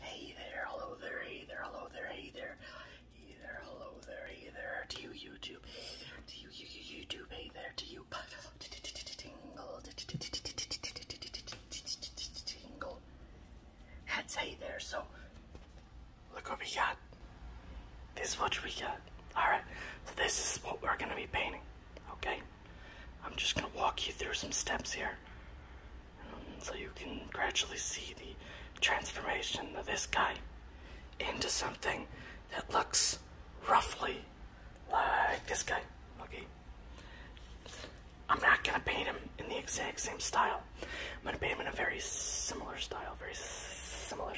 Hey there, hello there, hey there, hello there, hey there, hey there, hello there, hey there, to you YouTube, to you YouTube, hey there, to you tingle, tingle, that's hey there, so look what we got, this is what we got, alright, so this is what we're gonna be painting, okay, I'm just gonna walk you through some steps here, so you can gradually see the transformation of this guy into something that looks roughly like this guy. Okay. I'm not gonna paint him in the exact same style. I'm gonna paint him in a very similar style, very similar,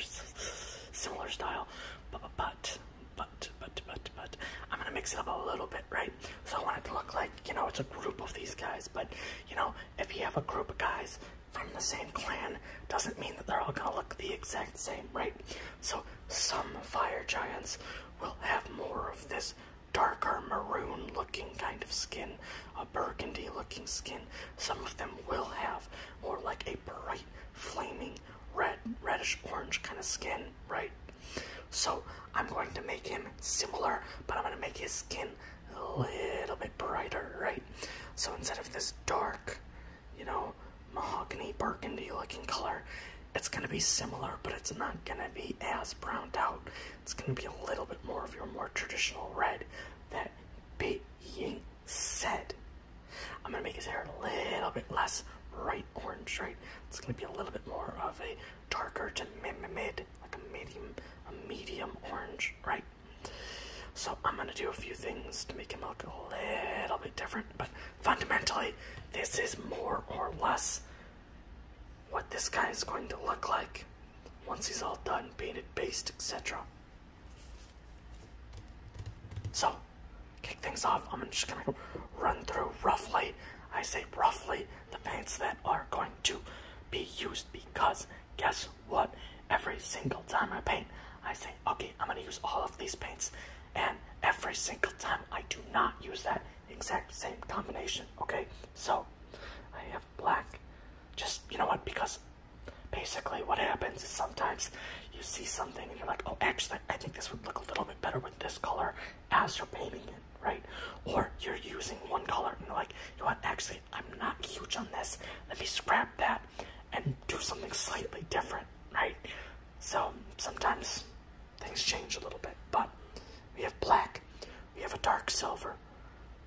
similar style. But, but, but, but, but, I'm gonna mix it up a little bit, right? So I want it to look like you know, it's a group of these guys, but, you know, if you have a group of guys from the same clan, doesn't mean that they're all gonna look the exact same, right? So some fire giants will have more of this darker maroon looking kind of skin, a burgundy looking skin. Some of them will have more like a bright flaming red, reddish orange kind of skin right? So I'm going to make him similar, but I'm going to make his skin a little bit brighter, right? So instead of this dark, you know, mahogany burgundy looking color, it's going to be similar, but it's not going to be as browned out. It's going to be a little bit more of your more traditional red. That being set. I'm going to make his hair a little bit less bright orange, right? It's going to be a little bit more of a darker to mid, mid like a medium, a medium orange, right? So I'm gonna do a few things to make him look a little bit different, but fundamentally, this is more or less what this guy is going to look like once he's all done, painted, based, etc. So, kick things off, I'm gonna just gonna run through roughly I say roughly the paints that are going to be used because guess what? Every single time I paint, I say, okay, I'm going to use all of these paints. And every single time I do not use that exact same combination, okay? So I have black. Just, you know what, because basically what happens is sometimes you see something and you're like, oh, actually, I think this would look a little bit better with this color as you're painting it, right? Or you're using one color and you're like, you want actually, I'm not huge on this. Let me scrap that and do something slightly different, right? So sometimes things change a little bit, but we have black, we have a dark silver,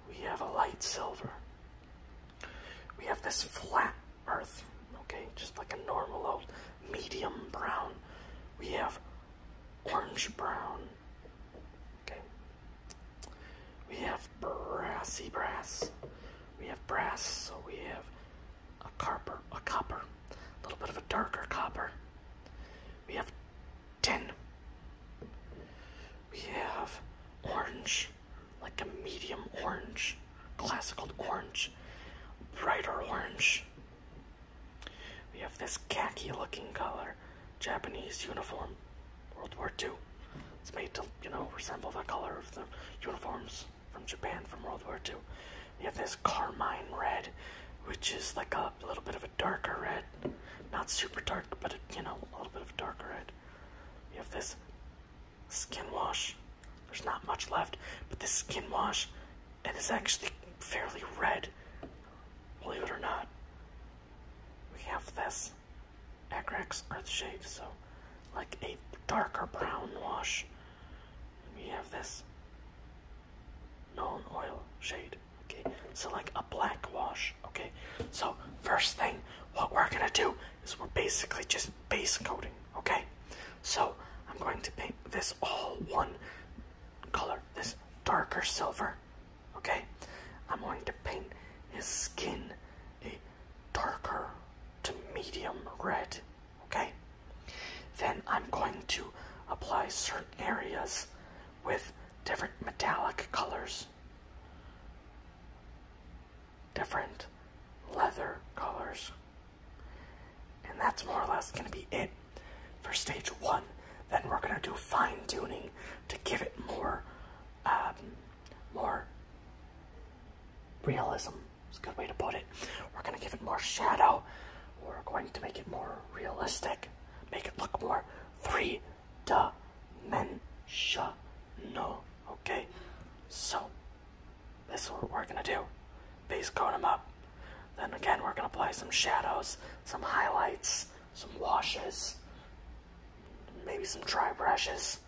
we have a light silver, we have this flat earth, okay, just like a normal old medium brown, we have orange brown. Okay. We have brassy brass. We have brass, so we have a copper, a copper, a little bit of a darker copper. We have tin. We have orange, like a medium orange, classical orange, brighter orange. We have this khaki looking color, Japanese uniform, World War II. It's made to, you know, resemble the color of the uniforms from Japan from World War II. We have this carmine red, which is like a, little bit of a darker red. Not super dark, but, a, you know, a little bit of darker red. We have this skin wash. There's not much left, but this skin wash, it is actually fairly red Believe it or not, we have this earth shade, so like a darker brown wash. And we have this non oil shade, okay? So like a black wash, okay? So first thing, what we're gonna do is we're basically just base coating, okay? So I'm going to paint this all one color, this darker silver. Okay? I'm going to paint his skin a darker to medium red. Okay? Then I'm going to apply certain areas with different metallic colors, different leather colors. And that's more or less going to be it for stage one. Then we're gonna do fine tuning to give it more, um, more realism. It's a good way to put it. We're gonna give it more shadow. We're going to make it more realistic, make it look more three dimensional. Okay, so this is what we're gonna do. Base coat them up. Then again, we're gonna apply some shadows, some highlights, some washes, maybe some dry brushes.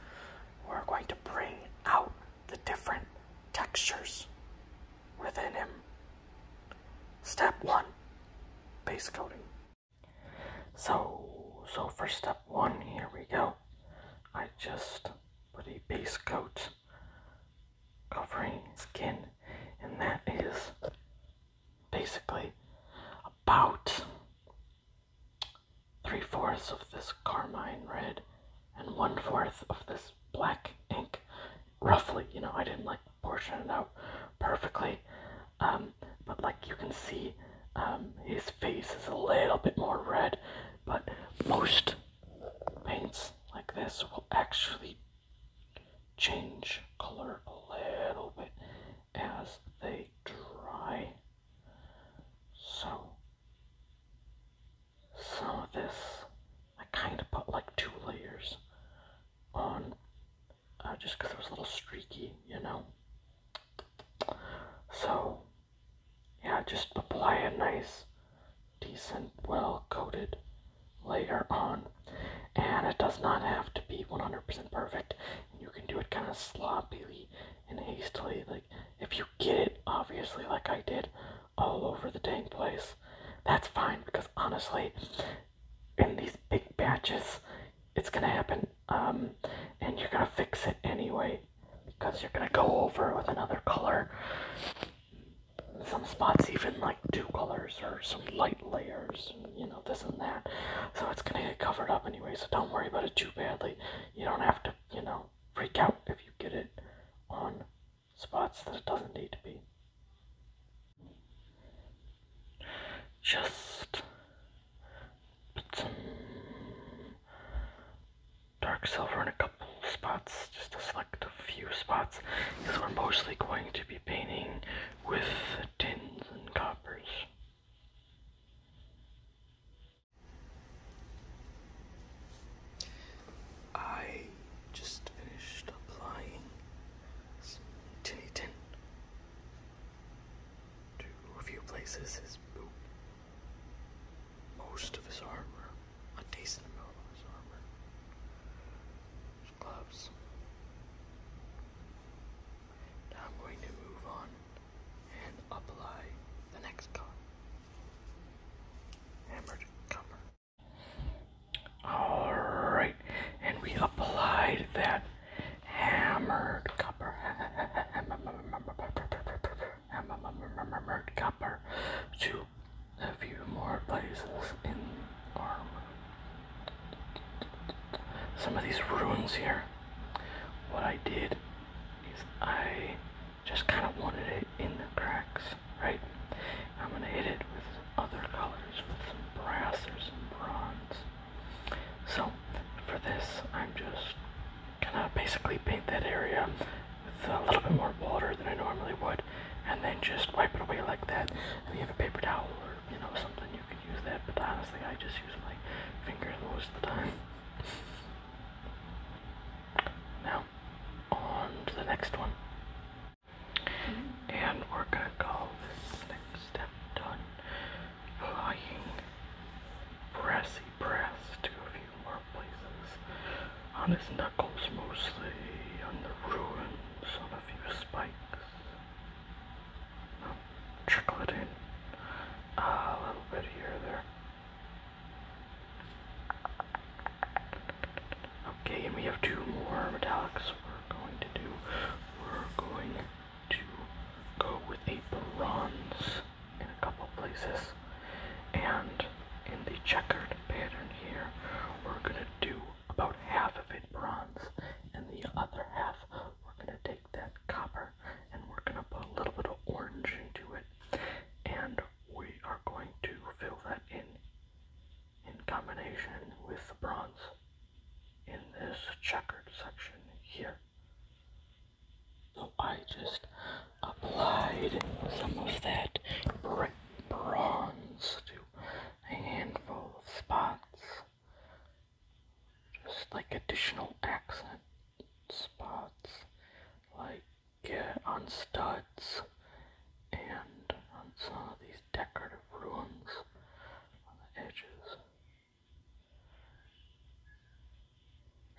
We're going to bring out the different textures within him. Step one, base coat. So, so for step one, here we go. I just put a base coat covering skin, and that is basically about three fourths of this carmine red and one fourth of this black ink. Roughly, you know, I didn't like portion it out perfectly, um, but like you can see, um, his face is a little bit more red, but most paints like this will actually change color a little bit as they dry. So, some of this I kind of put like two layers on uh, just because it was a little streaky, you know. So, yeah, just apply it nice decent, well coated layer on. And it does not have to be 100% perfect. You can do it kind of sloppily and hastily. Like, if you get it, obviously, like I did, all over the dang place, that's fine because honestly, in these big batches, it's gonna happen, um, and you're gonna fix it anyway because you're gonna go over with another color some spots even like two colors or some light layers, you know, this and that. So it's gonna get covered up anyway, so don't worry about it too badly. You don't have to, you know, freak out if you get it on spots that it doesn't need to be. Just put some dark silver in a couple spots, just to select a few spots, because we're mostly going to be painting with tins and coppers. I just finished applying some tinny tin to a few places his most of his armor, a decent amount of his armor. Gloves. Now I'm going to move on and apply the next color. Hammered cover. Alright, and we applied that hammered copper to a few more places in Arm. Some of these ruins here, what I did is I just kind of wanted it in the cracks, right? I'm going to hit it with other colors, with some brass or some bronze. So, for this, I'm just going to basically paint that area with a little bit more water than I normally would and then just wipe it away like that. If you have a paper towel or you know something, you can use that. But honestly, I just use my finger most of the time. Now, on to the next one. Mm-hmm. And we're gonna call this next step done. Lying brassy brass to a few more places on his knuckles, mostly on the ruin some of your spikes. Trickle it in a little bit here there. Okay, and we have two more metallics we're going to do. We're going to go with a bronze in a couple places. And in the checkered pattern here, we're going to do about half of it bronze, and the other half we're going to take that copper and we're going to put a little bit of orange into it, and we are going to fill that in in combination with the bronze in this checkered section here. So I just applied some of that bright bronze to a handful of spots, just like additional accent spots, like uh, on studs and on some of these decorative ruins on the edges.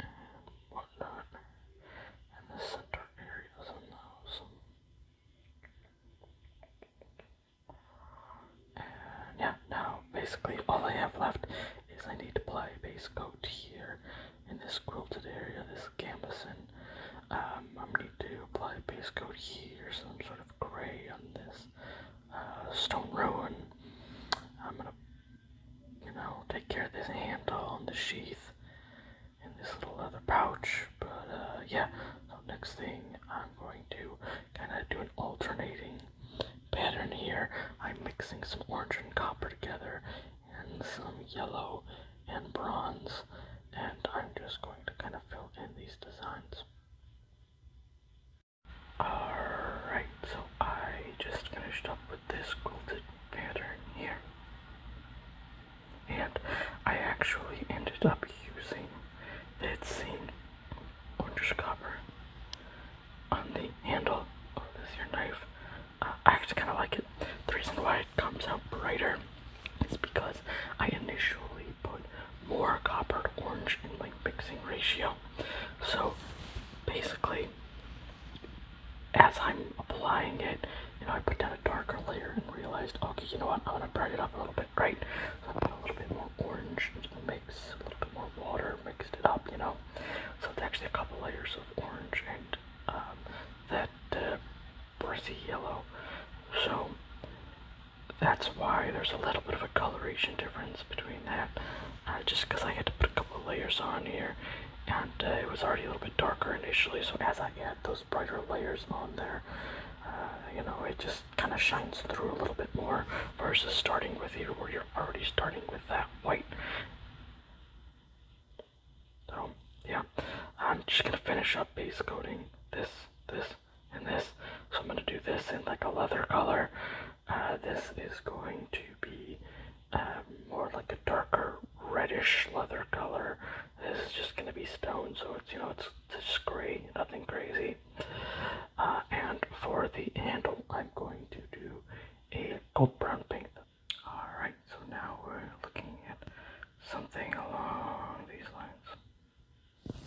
and whatnot, and the center areas on those yeah, now basically all I have left is I need to apply a base coat here in this quilted area, this gambeson. I'm um, going to apply a base coat here, some sort of gray on this uh, stone ruin. I'm going to, you know, take care of this handle on the sheath in this little leather pouch. But uh, yeah, next thing I'm going to kind of do an alternating pattern here. I'm mixing some orange and copper together and some yellow and bronze. And I'm just going to kind of fill in these designs. Alright, so I just finished up with this quilted pattern here and I actually ended up using it's same orange copper on the handle of this your knife. Uh, I actually kind of like it. The reason why it comes out brighter is because I initially put more copper to orange in my mixing ratio. So basically, as I'm applying it, you know, I put down a darker layer and realized, okay, you know what, I'm gonna brighten it up a little bit, right? So I put a little bit more orange into the mix, a little bit more water, mixed it up, you know? So it's actually a couple layers of orange and um, that uh, brassy yellow. So that's why there's a little bit of a coloration difference between that, uh, just because I had to put a couple layers on here and uh, it was already a little bit darker initially so as I add those brighter layers on there. Uh, you know, it just kind of shines through a little bit more versus starting with here where you're already starting with that white. So, yeah, I'm just going to finish up base coating this, this, and this. So I'm going to do this in like a leather color. Uh, this is going to be uh, more like a darker reddish leather color this is just gonna be stone, so it's you know it's, just gray, nothing crazy. Uh, and for the handle, I'm going to do a gold brown paint. All right, so now we're looking at something along these lines. Okay,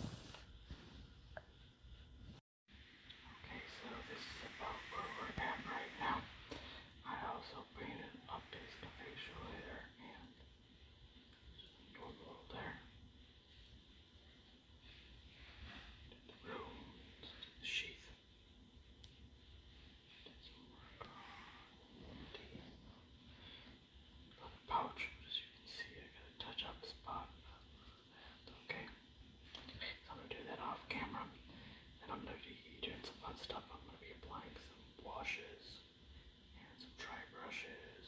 so this is about where we're at right now. I also painted up his facial hair and Door world there. And the runes, the sheath. There's a mark on the pouch, but as you can see, I got a touch up spot. That's okay. So I'm gonna do that off camera. And I'm gonna be doing some fun stuff. I'm gonna be applying some washes and some dry brushes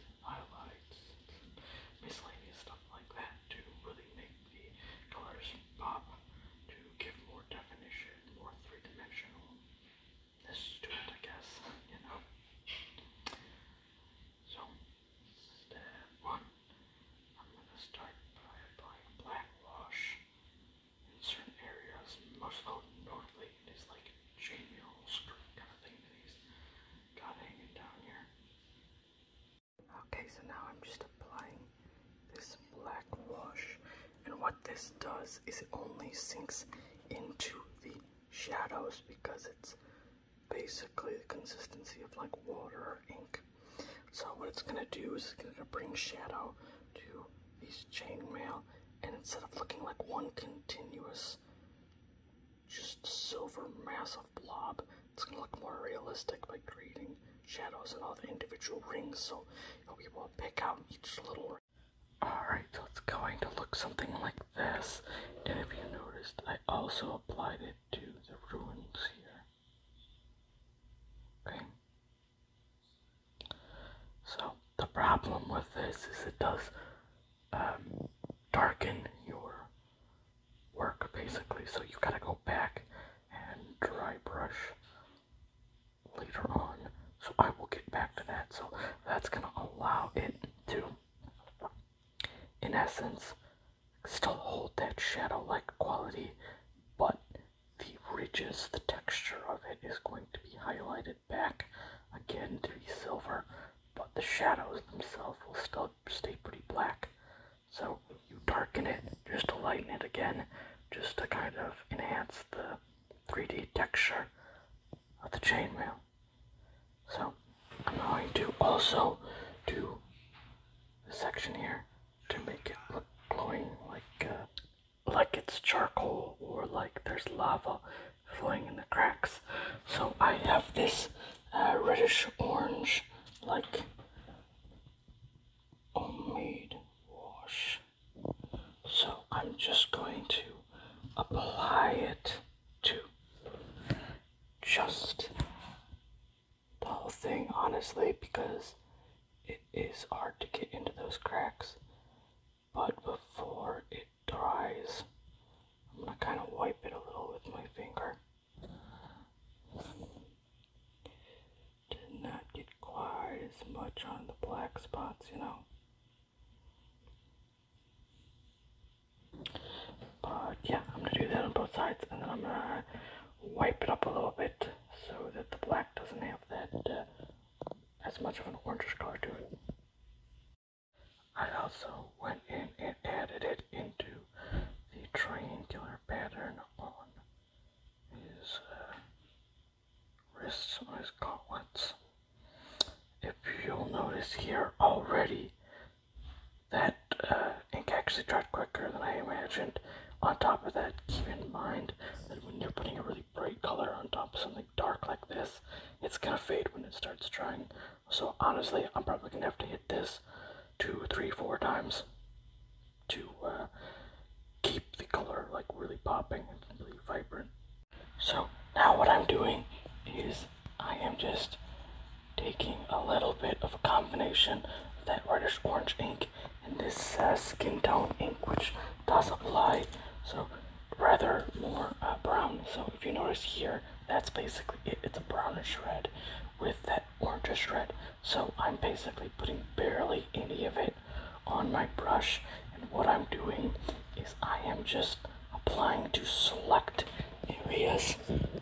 and highlights and miscellaneous stuff like that to really make the colors pop, to give more definition, more three-dimensional this to it, I guess, you know. So, step one, I'm going to start by applying black wash in certain areas, most notably in like genial streak kind of thing that he's got hanging down here. Okay, so now I'm just applying this black wash, and what this does is it only sinks into the shadows because it's basically the consistency of like water or ink. So what it's gonna do is it's gonna bring shadow to these chainmail and instead of looking like one continuous, just silver mass of blob, it's gonna look more realistic by creating shadows and all the individual rings, so we will pick out each little Alright, so it's going to look something like this, and if you noticed, I also applied it to the ruins here. Okay, so the problem with this is it does um, darken your work basically. So you have gotta go back and dry brush later on. So I will get back to that. So that's gonna allow it to, in essence, still hold that shadow-like quality, but the ridges, the texture of it is going to be highlighted back again to be silver, but the shadows themselves will still stay pretty black. So you darken it just to lighten it again, just to kind of enhance the 3D texture of the chainmail. So I'm going to also do a section here to make it look glowing like uh, like it's charcoal or like there's lava flowing in the cracks. So I have this uh, reddish orange like homemade wash. So I'm just going to apply it to just the whole thing honestly because it is hard to get into those cracks but before it dries, I'm going to kind of wipe it a little with my finger. Did not get quite as much on the black spots, you know. But yeah, I'm going to do that on both sides and then I'm going to wipe it up a little bit so that the black doesn't have that uh, as much of an orange color to it. I also went in and added it into the triangular pattern on his uh, wrists, on his gauntlets. If you'll notice here already, that uh, ink actually dried quicker than I imagined. On top of that, keep in mind that when you're putting a really bright color on top something dark like this, it's gonna fade when it starts drying. So honestly, I'm probably gonna have to hit this two, three, four times to uh, keep the color like really popping and really vibrant. So now what I'm doing is I am just taking a little bit of a combination of that reddish orange ink and this uh, skin tone ink, which does apply. So rather more uh, brown. So if you notice here, that's basically it. It's a brownish red with that orangish red. So I'm basically putting barely any of it on my brush. And what I'm doing is I am just applying to select areas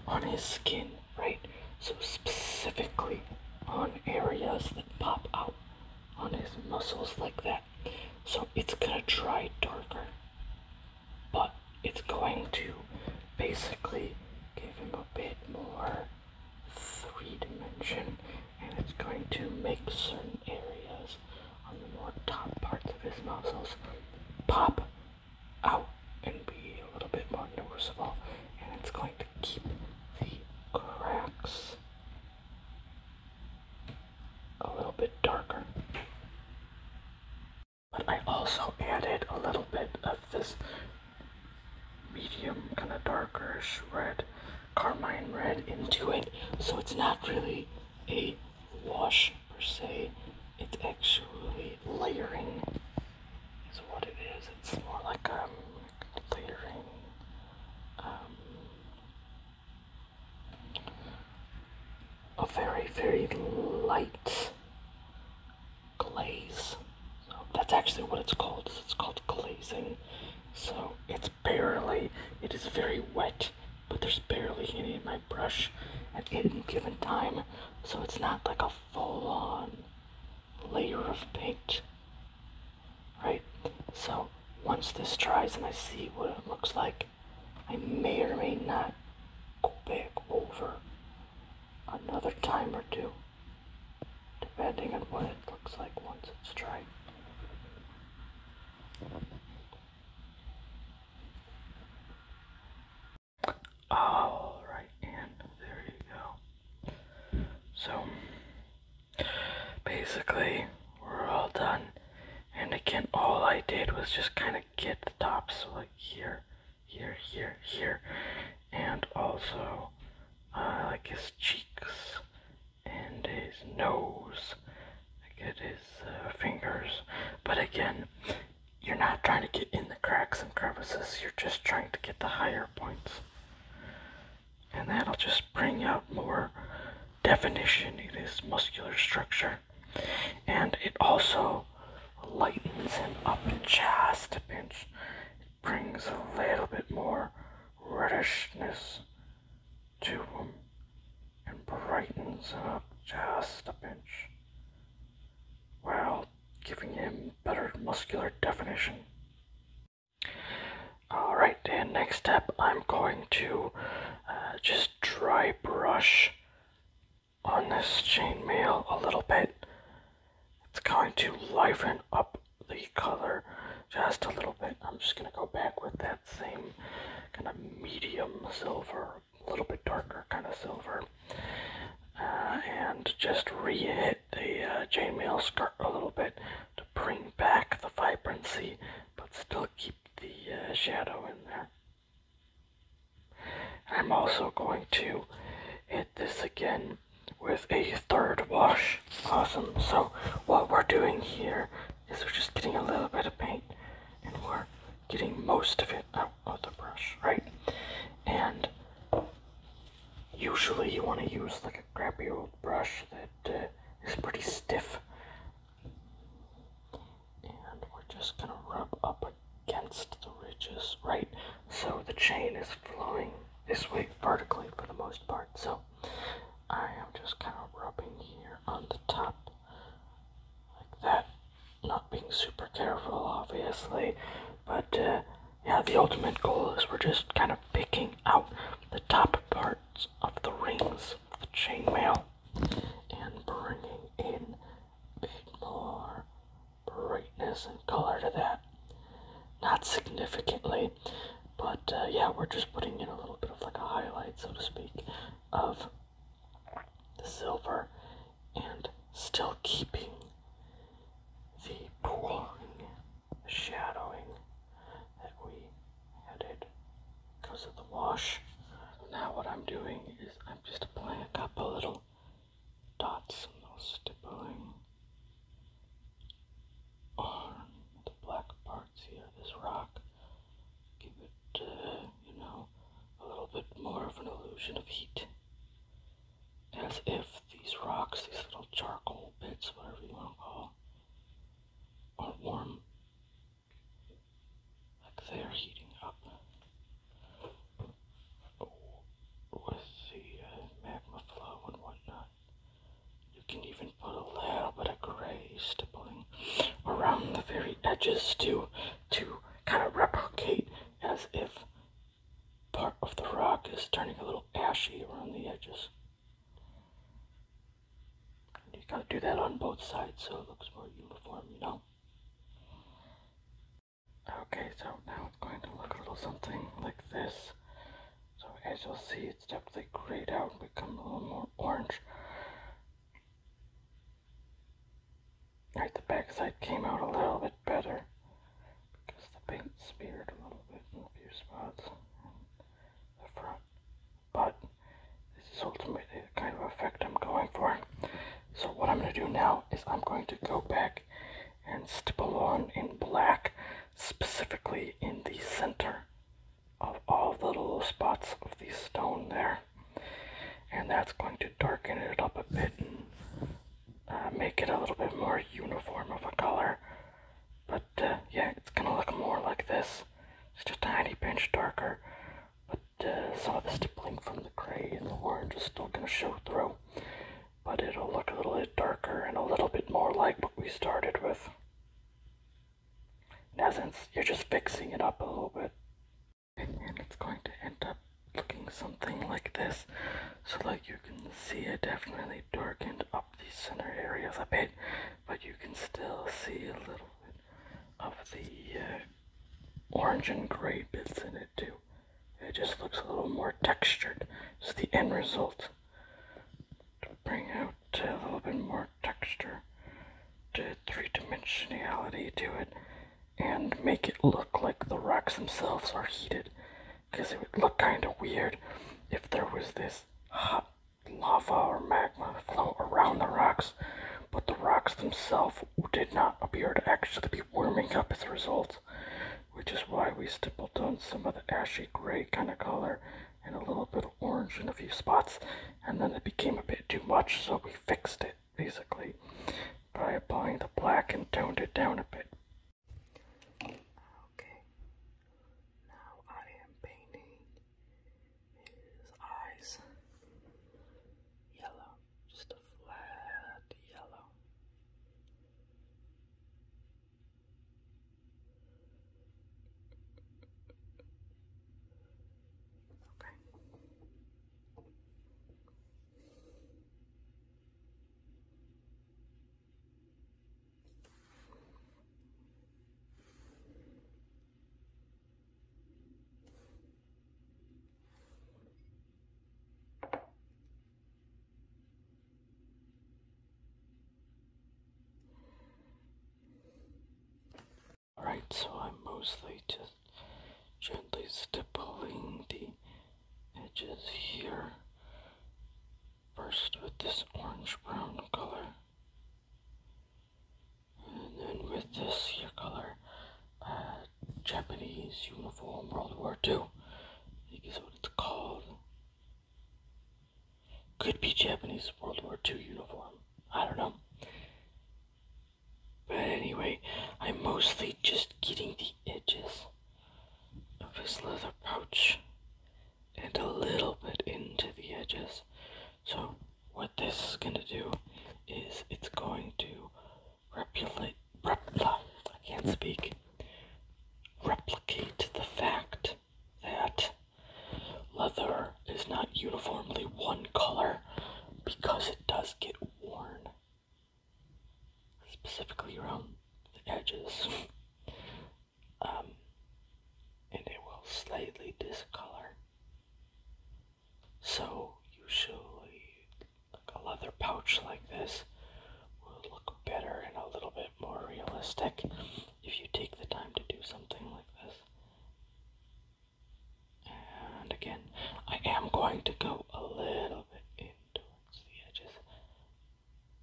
on his skin, right? So specifically on areas that pop out on his muscles like that. So it's gonna dry darker, but it's going to basically give him a bit more three dimension and it's going to make certain areas on the more top parts of his muscles pop out and be a little bit more noticeable and it's going to keep the cracks a little bit darker. But I also added a little bit of this medium, kind of darkerish red, carmine red into it. So it's not really a wash per se, it's actually layering is what it is. It's more like a um, layering um, a very, very light glaze. that's actually what it's called. It's called glazing. So it's barely, it is very wet, but there's barely any in my brush at any given time. So it's not like a full on layer of paint right? So once this dries and I see what it looks like, I may or may not go back over another time or two, depending on what it looks like once it's dried. All right, and there you go. So basically, we're all done. And again, all I did was just kind of get the top, so like here, here, here, here, and also uh, like his cheeks and his nose, like at his uh, fingers. But again, you're not trying to get in the cracks and crevices, you're just trying to get the higher points and that'll just bring out more definition in his muscular structure. And it also lightens him up just a pinch. It brings a little bit more reddishness to him and brightens him up just a pinch while giving him better muscular definition. Alright, and next step I'm going to uh, just dry brush on this chainmail a little bit. It's going to liven up the color just a little bit. I'm just going to go back with that same kind of medium silver, a little bit darker kind of silver. Uh, and just re-hit the uh, chainmail skirt a little bit bring back the vibrancy, but still keep the uh, shadow in there. I'm also going to hit this again with a third wash. Awesome. So what we're doing here is we're just getting a little bit of paint and we're getting most of it out of the brush, right? And usually you want to use like a crappy old brush that it's uh, pretty stiff. And we're just gonna rub up against the ridges, right? So the chain is flowing this way vertically for the most part. So I am just kind of rubbing here on the top like that. Not being super careful, obviously, but uh, yeah, the ultimate goal is we're just kind of picking out the top part of the rings of the chainmail and bringing in a bit more brightness and color to that. Not significantly, but uh, yeah, we're just putting in a little bit of like a highlight, so to speak, of the silver and still keeping the pooling, shadowing that we had because of the wash. Now what I'm doing is I'm just applying a couple little dots and little stippling on the black parts here, this rock. Give it, uh, you know, a little bit more of an illusion of heat. As if these rocks, these little charcoal bits, whatever you want to call are warm. Like they're heating up with the uh, magma flow and whatnot. You can even put a little bit of gray stippling around the very edges to to kind of replicate as if part of the rock is turning a little ashy around the edges. You gotta do that on both sides so it looks more uniform, you know? Okay, so now it's going to look a little something like this. So as you'll see, it's definitely grayed out and become a little more orange. Right, the backside came out a little bit better because the paint smeared a little bit in a few spots the front, but this is ultimately the kind of effect I'm going for. So what I'm going to do now is I'm going to go back and stipple on in black, specifically in the center of all the little spots of the stone there. And that's going to darken it up a bit and uh, make it a little bit more uniform of a color but uh, yeah, it's gonna look more like this. It's Just a tiny pinch darker. But uh, some of the stippling from the gray and the orange is still gonna show through. But it'll look a little bit darker and a little bit more like what we started with. In essence, you're just fixing it up a little bit. And it's going to end up looking something like this. So like you can see it definitely darkened up the center areas a bit but you can still see a little bit of the uh, orange and gray bits in it too. It just looks a little more textured. It's the end result to bring out a little bit more texture to three-dimensionality to it and make it look like the rocks themselves are heated because it would look kind of weird if there was this hot lava or magma flow around the rocks, but the rocks themselves did not appear to actually be warming up as a result, which is why we stippled on some of the ashy gray kind of color and a little bit of orange in a few spots, and then it became a bit too much, so we fixed it basically by applying the black and toned it down a bit. Okay, now I am painting his eyes yellow, just a flat yellow. Okay. Alright, so I'm mostly just gently stippling the edges here first with this orange brown color and then with this here color uh, Japanese uniform World War II I think is what it's called could be Japanese World War II uniform I don't know but anyway I'm mostly just getting the edges of his leather pouch and a little bit into the edges. So what this is going to do is it's going to replicate, repla, I can't speak, replicate the fact that leather is not uniformly one color because it does get worn, specifically around the edges um, and it will slightly discolor. So usually like a leather pouch like this will look better and a little bit more realistic if you take the time to do something like this. And again, I am going to go a little bit in towards the edges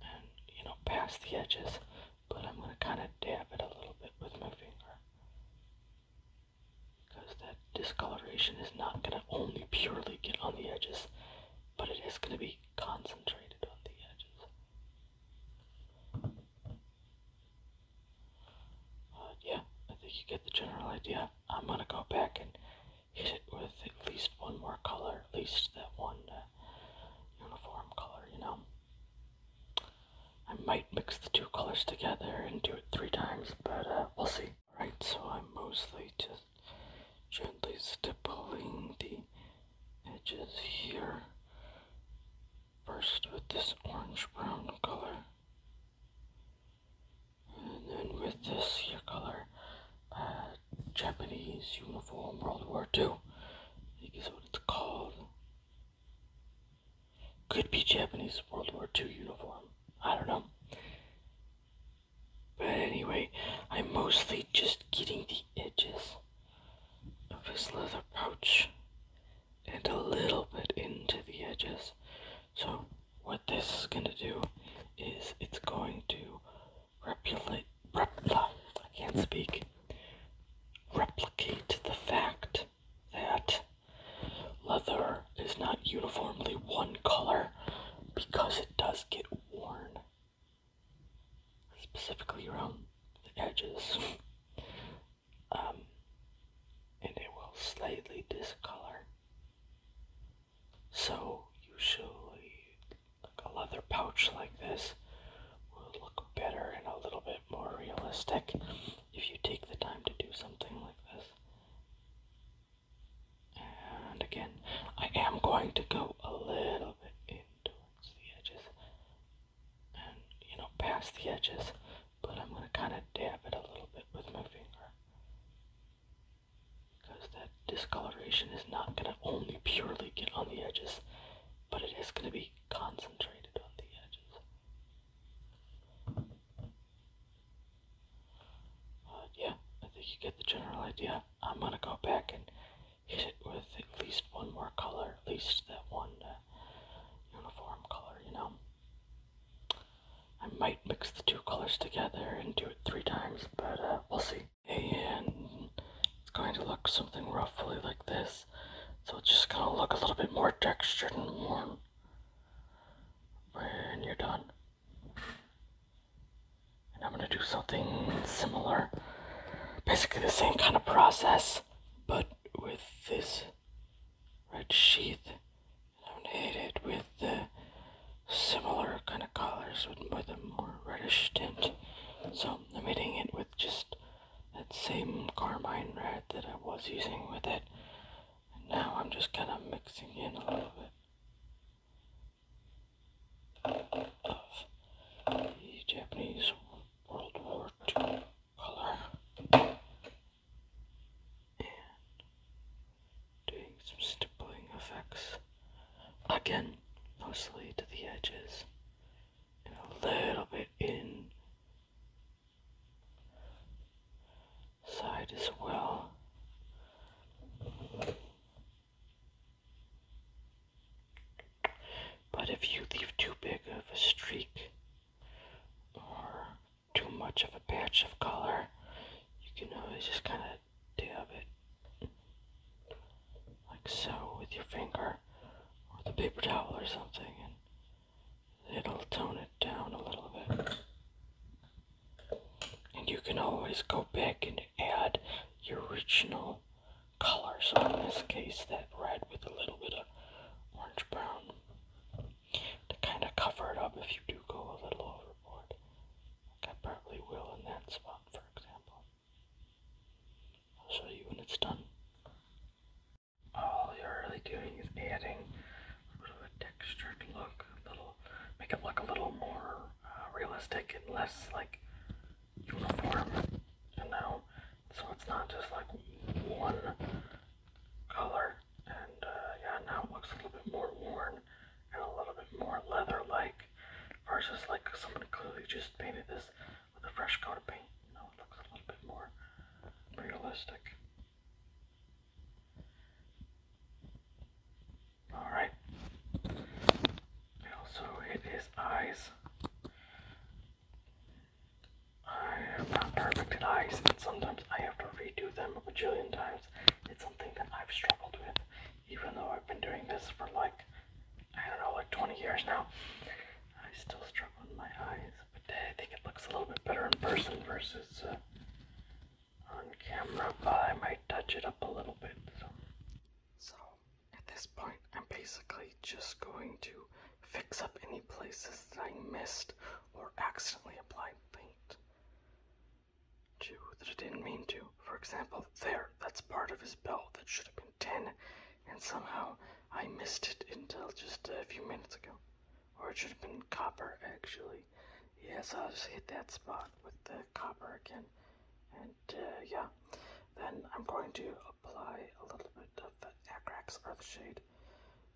and you know past the edges, but I'm going to kind of dab it a little bit with my finger because that discoloration is not going to only purely get on the edges, but it is going to be concentrated on the edges. Uh, yeah, I think you get the general idea. I'm going to go back and hit it with at least one more color at least that one uh, uniform color, you know. I might mix the two colors together and do it three times, but uh, we'll see. Right, so I'm mostly just gently stippling the edges here. First with this orange-brown color. And then with this here color, uh, Japanese uniform World War Two it's called. Could be Japanese World War II uniform. I don't know. But anyway, I'm mostly just getting the edges of his leather pouch and a little bit into the edges. So what this is going to do is it's going to replicate, repli- I can't speak, replicate the fact that leather is not uniformly one color because it does get worn, specifically around the edges, um, and it will slightly discolor. So usually like a leather pouch like this will look better and a little bit more realistic if you take the time to do something like this. And again, I am going to go a little bit in towards the edges and, you know, past the edges, but I'm going to kind of dab it a little bit with my finger because that discoloration is not going to only purely get on the edges but it is going to be concentrated on the edges. Uh, yeah, I think you get the general idea. I'm going to go back and hit it with at least one more color, at least that one uh, uniform color, you know. I might mix the two colors together and do it three times, but uh, we'll see and it's going to look something roughly like this. So it's just going to look a little bit more textured and warm when you're done. And I'm going to do something similar. Basically the same kind of process, but with this red sheath. I'm going to hit it with the similar kind of colors, with a more reddish tint. So I'm hitting it with just that same carmine red that I was using with it. And now I'm just kind of mixing in a little bit of the Japanese World War II color. And doing some stippling effects. Again, mostly to the edges and a little bit in side as well. But if you leave too big of a streak or too much of a patch of color, you can always just kind of dab it like so with your finger or the paper towel or something and it'll tone it down a little bit. And you can always go back and add your original color. So in this case, that red with a little bit of orange brown to kind of cover it up if you do go a little overboard. Like I probably will in that spot, for example. I'll show you when it's done. All you're really doing is adding a little bit of texture to look, a little, make it look a little more uh, realistic and less like uniform, you know? So it's not just like one color. And uh, yeah, now it looks a little bit more worn and a little bit more leather-like versus like someone clearly just painted this with a fresh coat of paint. You it looks a little bit more realistic. Alright. We also hit his eyes. I am not perfect at eyes, and sometimes I have to redo them a bajillion times. It's something that I've struggled with even though I've been doing this for like, I don't know, like 20 years now, I still struggle with my eyes, but uh, I think it looks a little bit better in person versus uh, on camera, but I might touch it up a little bit. so, at this point, I'm basically just going to fix up any places that I missed or accidentally applied paint to that I didn't mean to. For example, there, that's part of his belt that should have been 10, and somehow I missed it until just a few minutes ago. Or it should have been copper, actually. Yes, I'll just hit that spot with the copper again. And uh, yeah, then I'm going to apply a little bit of the Agrax Earthshade Shade,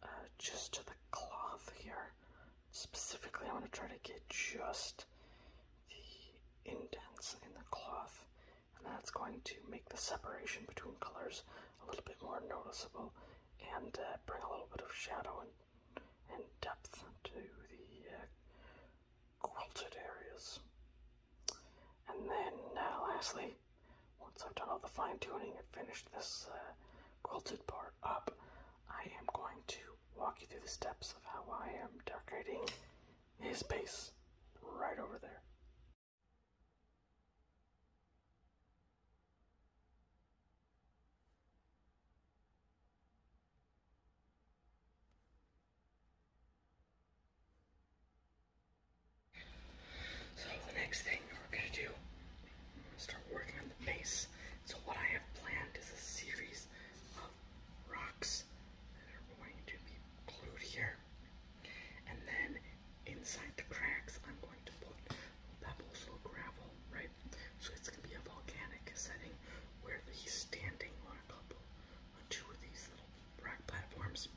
uh, just to the cloth here. Specifically, i want to try to get just the indents in the cloth and that's going to make the separation between colors a little bit more noticeable and uh, bring a little bit of shadow and, and depth to the uh, quilted areas. And then uh, lastly, once I've done all the fine tuning and finished this quilted part up, I am going to walk you through the steps of how I am decorating his base right over there. So the next thing we're gonna do, start working on the base. So what I have planned is a series rocks that are going to be glued here. And then inside the cracks, I'm going to put pebbles or gravel, right? So it's going to be a volcanic setting where he's standing on a couple, on two of these little rock platforms.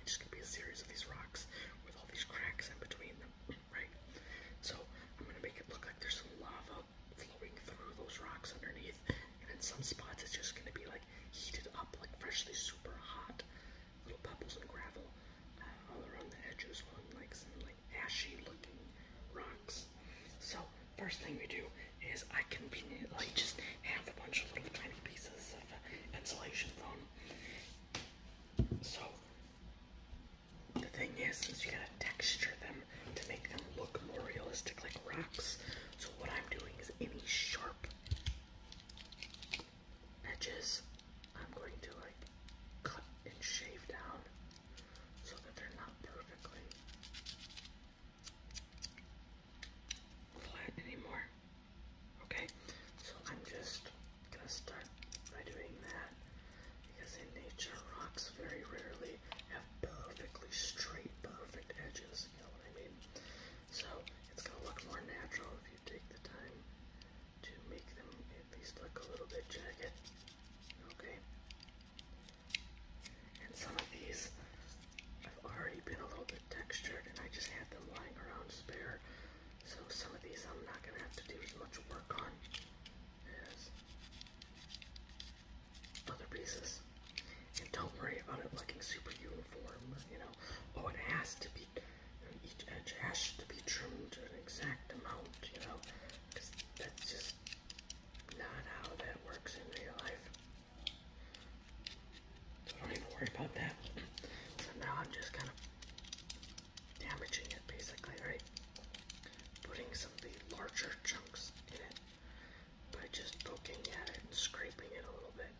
It's just going to be a series of these rocks with all these cracks in between them, right? So I'm going to make it look like there's some lava flowing through those rocks underneath and in some spots it's just gonna be like heated up, like freshly super hot, little pebbles and gravel uh, all around the edges, on like some like ashy looking rocks. So first thing we do is I conveniently just have a bunch of little tiny pieces of uh, insulation foam. So the thing is, is you gotta texture them to make them look more realistic, like rocks. So what I'm doing is any sharp edges, I'm going to like cut and shave down so that they're not perfectly flat anymore. Okay, so I'm just gonna start by doing that because in nature rocks very rarely have perfectly straight, perfect edges. You know what I mean? So it's going to look more natural if you take the time to make them at least look a little bit jagged. Okay? And some of these have already been a little bit textured and I just had them lying around spare. So some of these I'm not going to have to do as much work on as other pieces. And don't worry about it looking super uniform, you know. Oh, it has to be, each edge has to be trimmed to an exact amount, you know, because that's just not how that works in real life. So don't even worry about that. So now I'm just kind of damaging it basically, right? Putting some of the larger chunks in it by just poking at it and scraping it a little bit.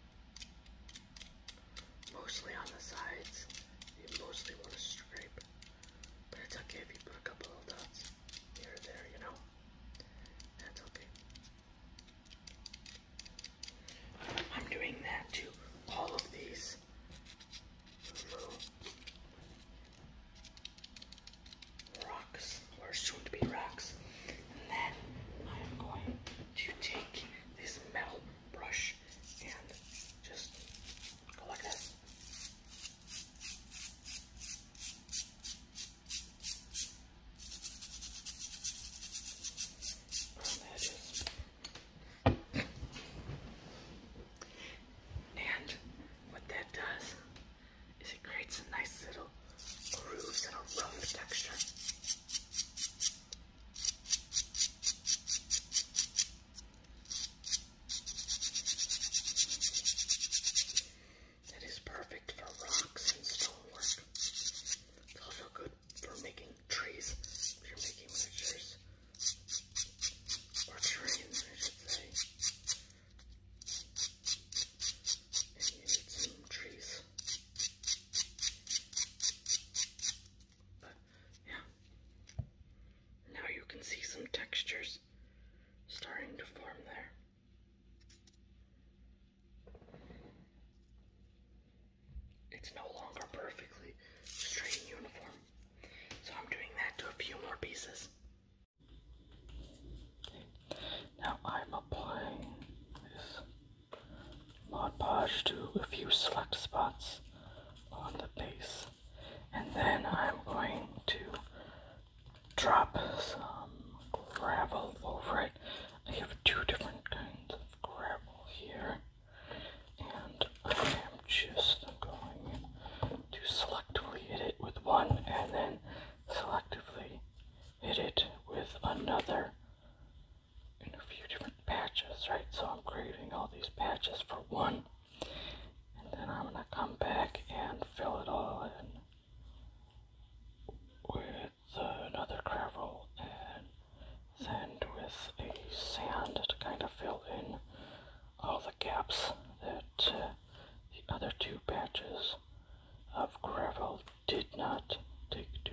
Mostly on the sides, you mostly want to scrape, but it's okay if you put a couple of dots here or there, you know? That's okay. I'm doing that to all of these. Mm-hmm rocks, or soon to be rocks. And then I am going to take this metal brush and just go like this. And what that does is it creates a nice little grooves and a rough texture. That is perfect for rocks and stonework. It's also good for making trees you're making miniatures. Or terrain, and you need some trees. But yeah. Now you can see some textures starting to form there. It's no longer perfectly straight and uniform. So I'm doing that to a few more pieces. Now I'm applying this Mod to a few select spots on the base. And then I'm going to drop some gravel over it. I have two different kinds of gravel here. And I am just going to selectively hit it with one and then selectively Hit it with another in a few different patches, right? So I'm creating all these patches for one. And then I'm going to come back and fill it all in with another gravel and then with a sand to kind of fill in all the gaps that uh, the other two patches of gravel did not take to.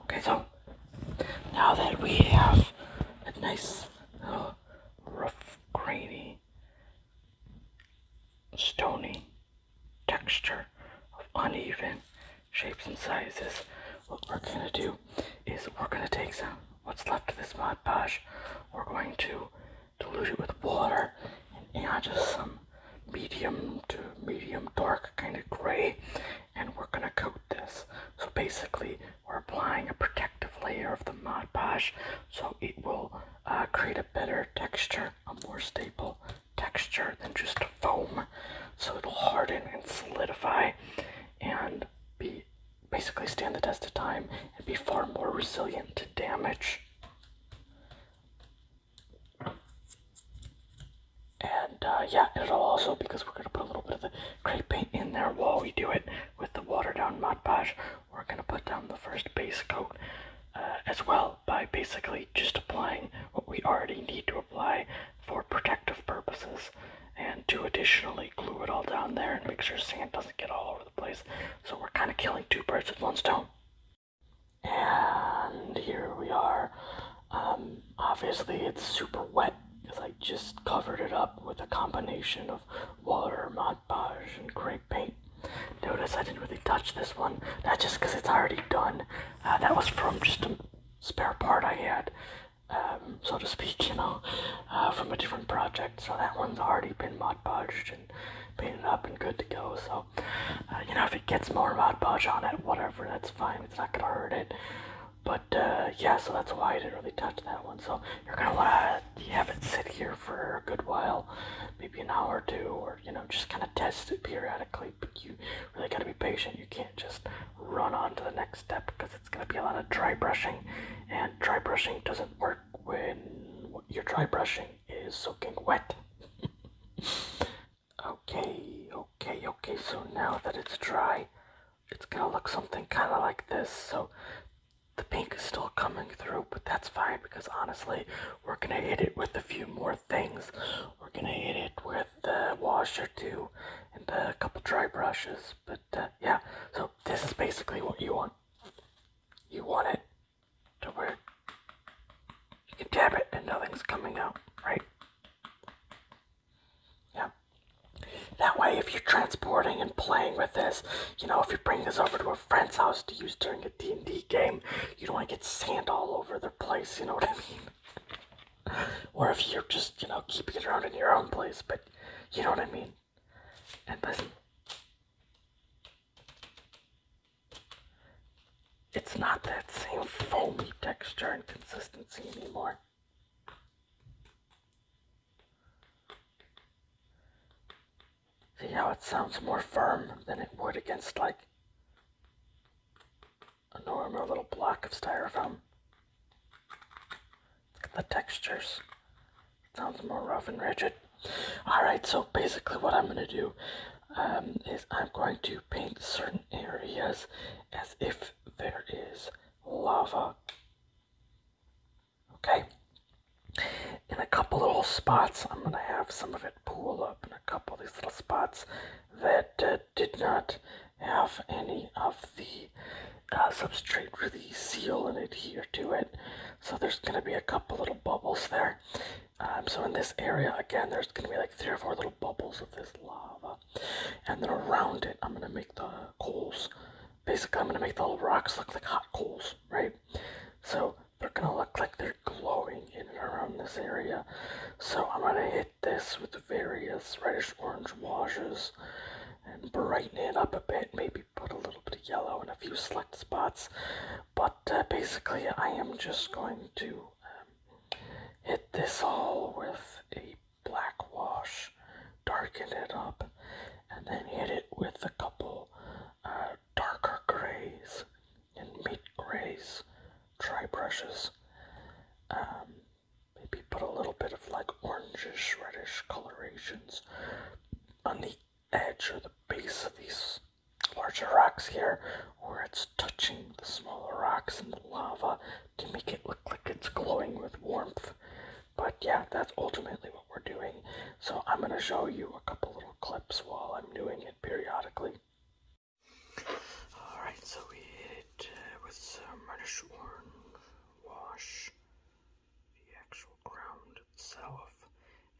Okay, so now that we have a nice uh, rough, grainy, stony texture of uneven shapes and sizes, what we're gonna do is we're gonna take some what's left of this Mod Podge, we're going to dilute it with water and add just some medium to medium dark kind of gray and we're going to coat this. So basically we're applying a protective layer of the Mod Podge so it will uh, create a better texture, a more stable texture than just foam. So it'll harden and solidify and be basically stand the test of time and be far more resilient to damage. And uh, yeah, it'll also, because we're going to put a little bit of the crepe paint in there while we do it with the water down Mod Podge, we're going to put down the first base coat uh, as well by basically just applying what we already need to apply for protective purposes and to additionally glue it all down there and make sure sand doesn't get all over the place. So we're kind of killing two birds with one stone. And here we are. Um, obviously, it's super wet because I just covered it up with a combination of water, Mod Podge, and gray paint. Notice I didn't really touch this one. That's just because it's already done. Uh, that was from just a spare part I had, um, so to speak, you know, uh, from a different project. So that one's already been Mod Podged and painted up and good to go. So, uh, you know, if it gets more mud budge on it, whatever, that's fine. It's not gonna hurt it. But uh, yeah, so that's why I didn't really touch that one. So you're gonna wanna have it sit here for a good while, maybe an hour or two, or you know, just kind of test it periodically. But you really gotta be patient. You can't just run on to the next step because it's gonna be a lot of dry brushing, and dry brushing doesn't work when your dry brushing is soaking wet. okay, okay, okay, so now that it's dry, it's gonna look something kind of like this. So the pink is still coming through, but that's fine because honestly, we're gonna hit it with a few more things. We're gonna hit it with the washer too and a couple dry brushes. But uh, yeah, so this is basically what you want. You want it to where you can tap it and nothing's coming out, right? Yeah. That way, if you're transporting and playing with this, you know, if you bring this over to a friend's house to use during a D&D game, you don't want to get sand all over their place, you know what I mean? or if you're just, you know, keeping it around in your own place, but you know what I mean? And this. It's not that same foamy texture and consistency anymore. See how it sounds more firm than it would against like a normal little block of styrofoam. the textures. Sounds more rough and rigid. Alright, so basically what I'm going to do um, is I'm going to paint certain areas as if there is lava. Okay? In a couple little spots, I'm going to have some of it pool up in a couple of these little spots that uh, did not have any of the uh, substrate really seal and adhere to it. So there's going to be a couple little bubbles there. Um, so in this area, again, there's going to be like three or four little bubbles of this lava. And then around it, I'm going to make the coals. Basically, I'm going to make the rocks look like hot coals, right? So they're going to look like they're glowing in and around this area. So I'm going to hit this with various reddish orange washes and brighten it up a bit, maybe put a little bit of yellow in a few select spots. But uh, basically, I am just going to um, hit this all with a black wash, darken it up, and then hit it with a couple uh, darker grays and mid grays dry brushes. Um, maybe put a little bit of like orangish, reddish colorations on the edge or the base of these larger rocks here where it's touching the smaller rocks and the lava to make it look like it's glowing with warmth. But yeah, that's ultimately what we're doing. So I'm going to show you a couple little clips while I'm doing it periodically. Alright, so we hit uh, with some reddish orange wash the actual ground itself.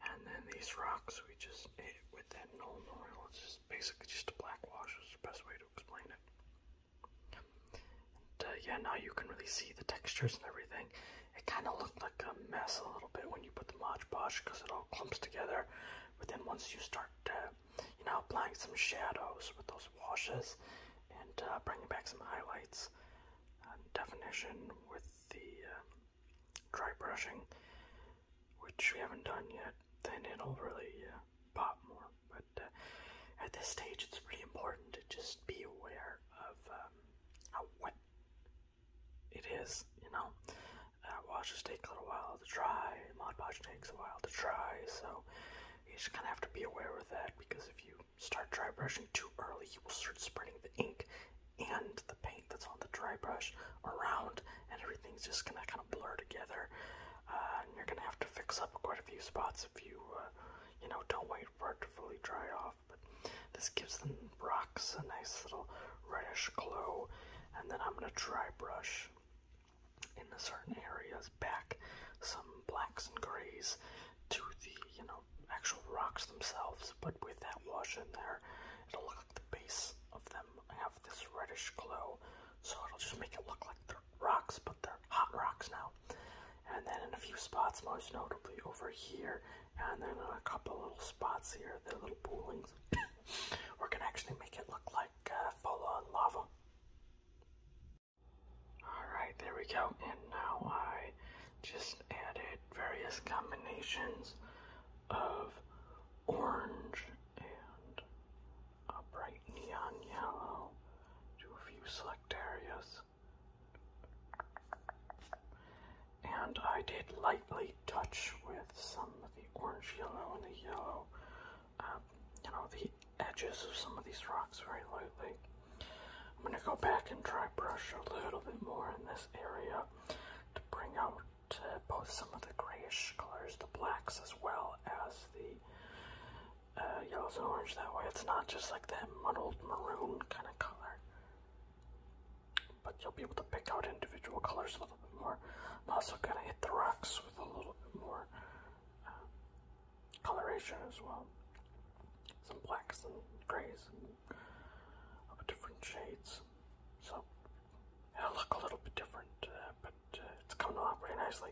And then these rocks, we just hit it with that knoll oil. It's just basically just a black wash, is the best way to explain it. And uh, yeah, now you can really see the textures and everything. It kind of looked like a mess a little bit when you put the Mod Podge because it all clumps together. But then once you start, uh, you know, applying some shadows with those washes and uh, bringing back some highlights uh, definition with the. Um, dry brushing, which we haven't done yet, then it'll really uh, pop more. But uh, at this stage, it's pretty important to just be aware of um, how wet it is, you know. Uh, washes take a little while to dry, Mod Podge takes a while to dry, so you just kind of have to be aware of that because if you start dry brushing too early, you will start spreading the ink and the paint that's on the dry brush around, and everything's just gonna kind of blur together. Uh, and you're gonna have to fix up quite a few spots if you, uh, you know, don't wait for it to fully dry off. But this gives the rocks a nice little reddish glow, and then I'm gonna dry brush in the certain areas back some blacks and grays to the you know, actual rocks themselves, but with that wash in there, it'll look like the base of them have this reddish glow, so it'll just make it look like they're rocks, but they're hot rocks now. And then in a few spots, most notably over here, and then in a couple little spots here, the little poolings, we're gonna actually make it look like uh, lava. Alright, there we go, and now I just added various combinations of orange and a bright neon yellow to a few select areas. And I did lightly touch with some of the orange yellow and the yellow, um, you know, the edges of some of these rocks very lightly. I'm going to go back and try brush a little bit more in this area to bring out uh, both some of the grayish colors, the blacks, as well as the uh, yellows and orange. That way, it's not just like that muddled maroon kind of color. But you'll be able to pick out individual colors a little bit more. I'm also gonna hit the rocks with a little bit more uh, coloration as well. Some blacks and grays and of different shades. So it'll look a little bit different, uh, but uh, it's coming off pretty nicely.